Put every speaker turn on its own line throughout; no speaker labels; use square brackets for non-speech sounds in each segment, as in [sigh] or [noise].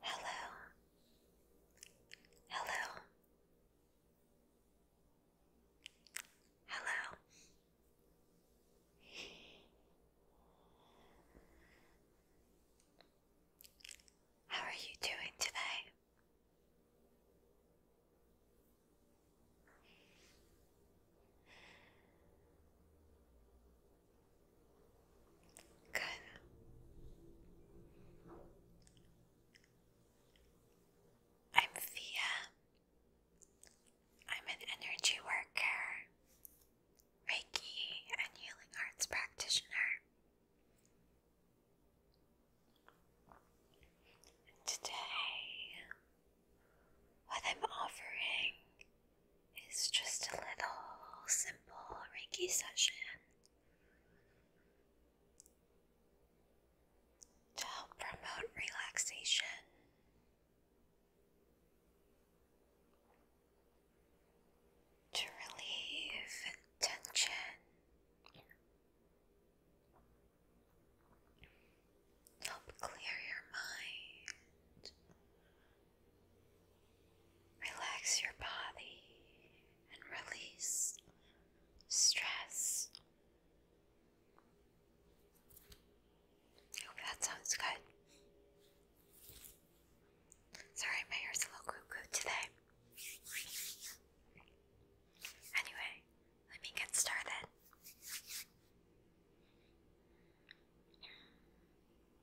Hello. Hello. Hello. How are you doing today? Good. I'm Fia. I'm an energy worker, Reiki, and healing arts practitioner. Today, what I'm offering it's just a little simple Reiki session to help promote relaxation. To relieve tension, help clear your mind, Relax your body and release stress. I hope that sounds good. Sorry, my hair's a little cuckoo today. Anyway, let me get started.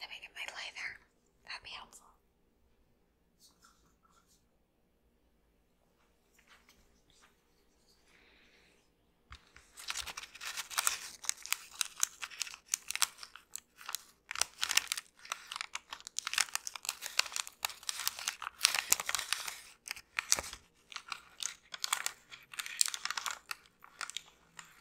Let me get my lighter. That'd be helpful.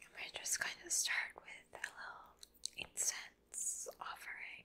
And we're just going to start with a little incense offering.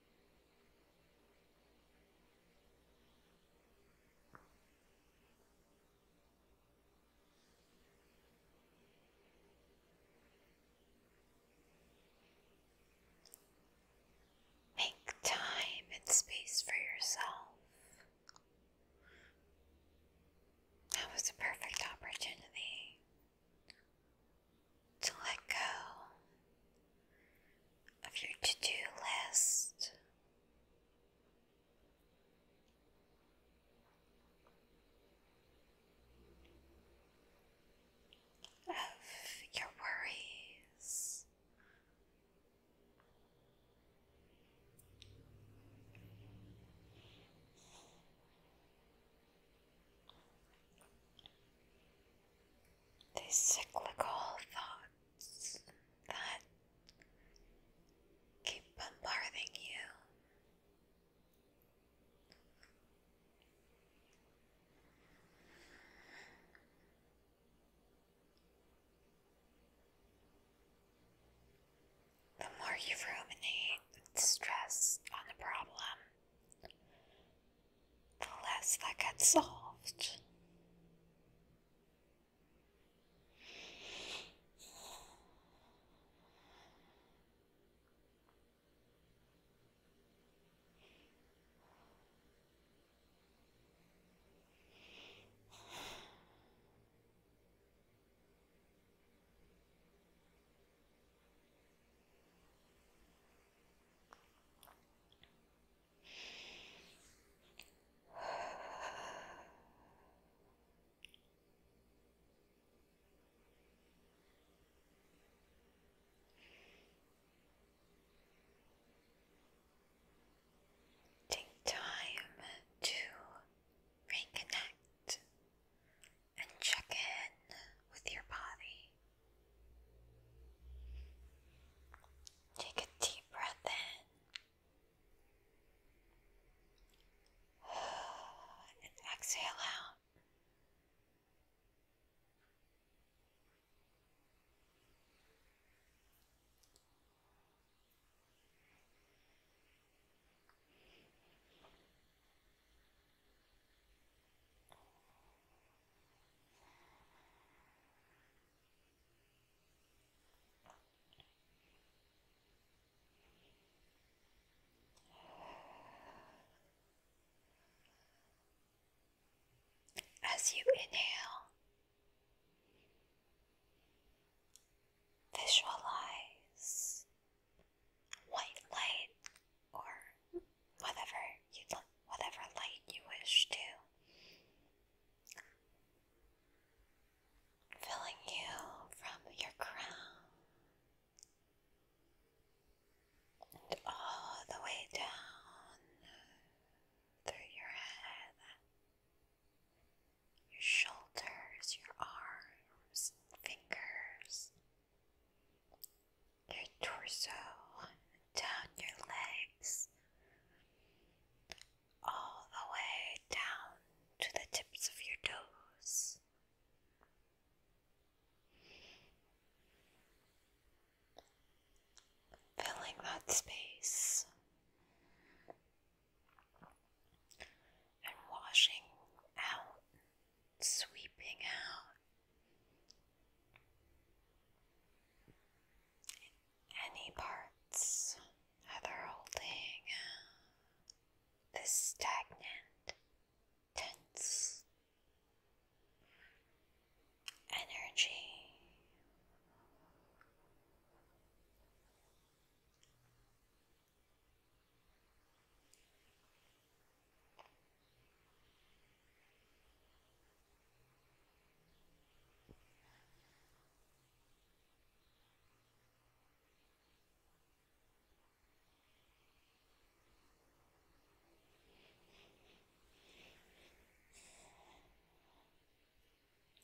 Make time and space for yourself. That was a perfect opportunity to let go of your to do list. Of your worries, these cyclical thoughts that keep bombarding you. The more you ruminate and stress on the problem, the less that gets solved. Take time to reconnect and check in with your body. Take a deep breath in and exhale out. As you inhale, visualize white light or whatever you whatever light you wish to, filling you from your crown and all the way down through your head, your shoulders, your arms, fingers your torso, down your legs, all the way down to the tips of your toes. Filling that space and washing out, sweeping out any parts either holding uh, this stagnant, tense energy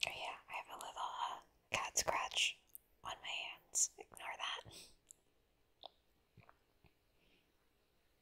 yeah, I have a little uh, cat scratch on my hands. Ignore that.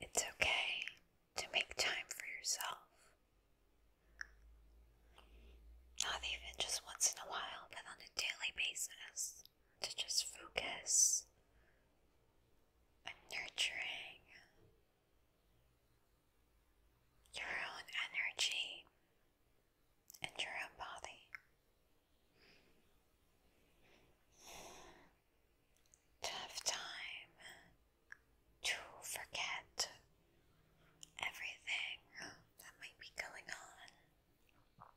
It's okay to make time for yourself. Not even just once in a while, but on a daily basis to just focus and nurturing your own energy and your own body. To have time to forget everything that might be going on.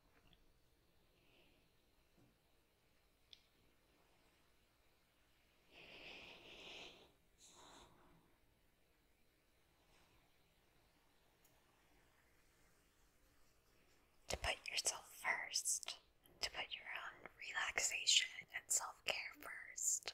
To put yourself first, to put your own relaxation and self care first.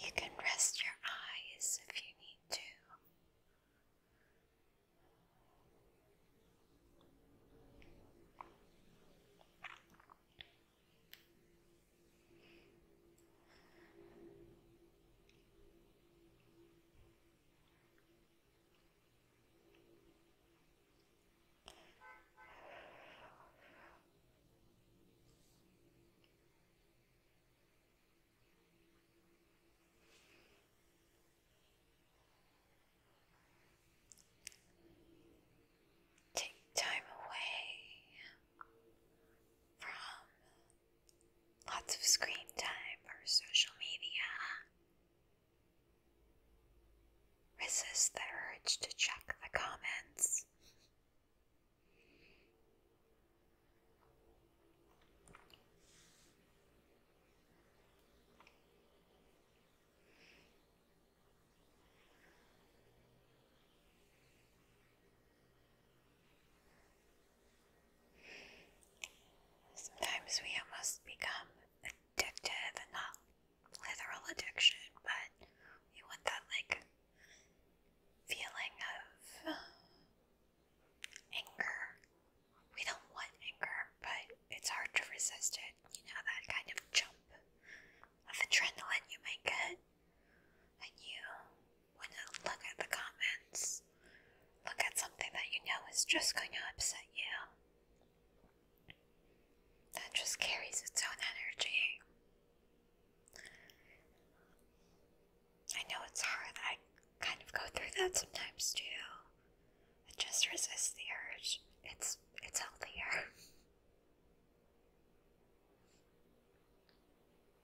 You can rest your eyes if you need to. Take time away from Lots of screen time or social media. Resist the urge to check the comments. Sometimes we almost become addicted, and not literal addiction, but we want that like feeling of anger. We don't want anger, but it's hard to resist it. You know, that kind of jump of adrenaline you make it, and you want to look at the comments, look at something that you know is just going to upset you. That just carries its own energy. I know it's hard. I kind of go through that sometimes too. just resist the urge. It's it's healthier. [laughs]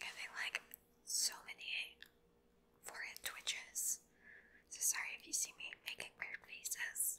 Having like so many forehead twitches. So sorry if you see me making weird faces.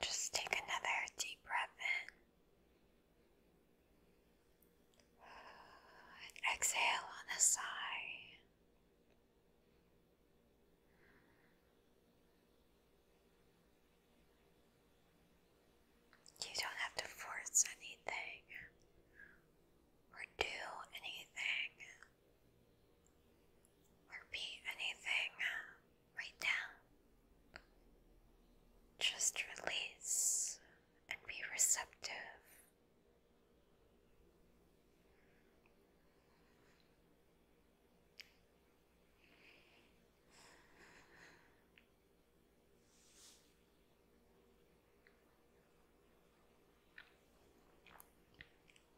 just take another deep breath in. And exhale on a sigh. You don't have to force anything or do anything. Repeat anything uh, right now. Just release and be receptive.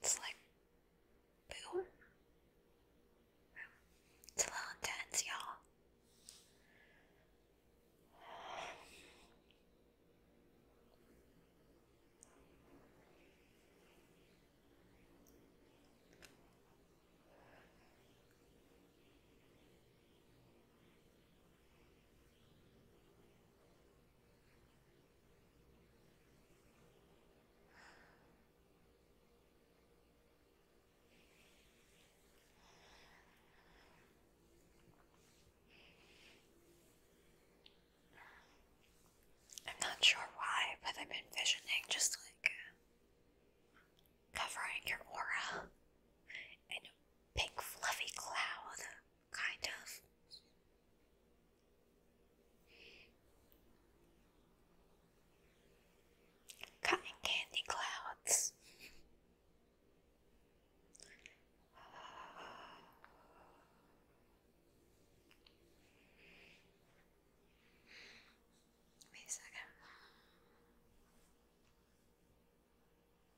It's like boo. It's a little intense, y'all. I'm not sure why, but I'm envisioning just like covering your aura in a pink fluffy cloud Kind of. Cotton candy clouds. Wait a second.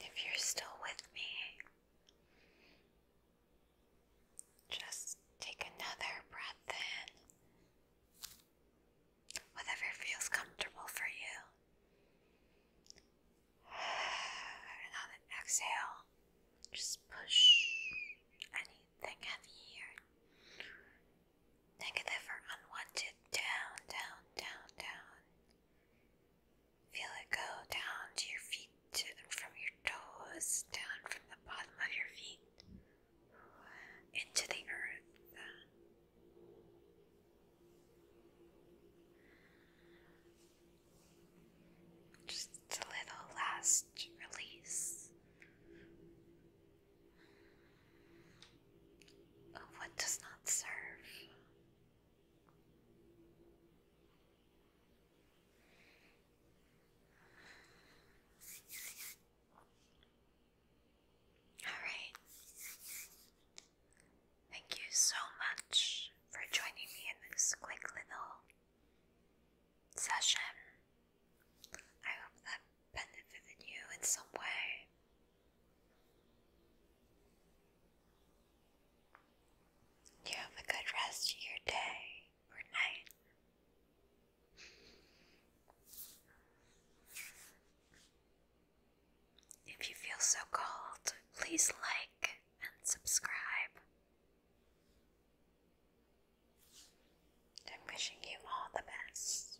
If you're still with me, just take another breath in, whatever feels comfortable for you. And exhale, just push anything heavy or Negative or unwanted. Down, down, down, down. Feel it go down to your feet from your toes, down from the bottom of your feet into the earth. Just a little last release what does not serve. All right. Thank you so much for joining me in this quick little session. I hope that benefited you in some way. You have a good rest of your day or night. If you feel so called, please like and subscribe. I'm wishing you all the best.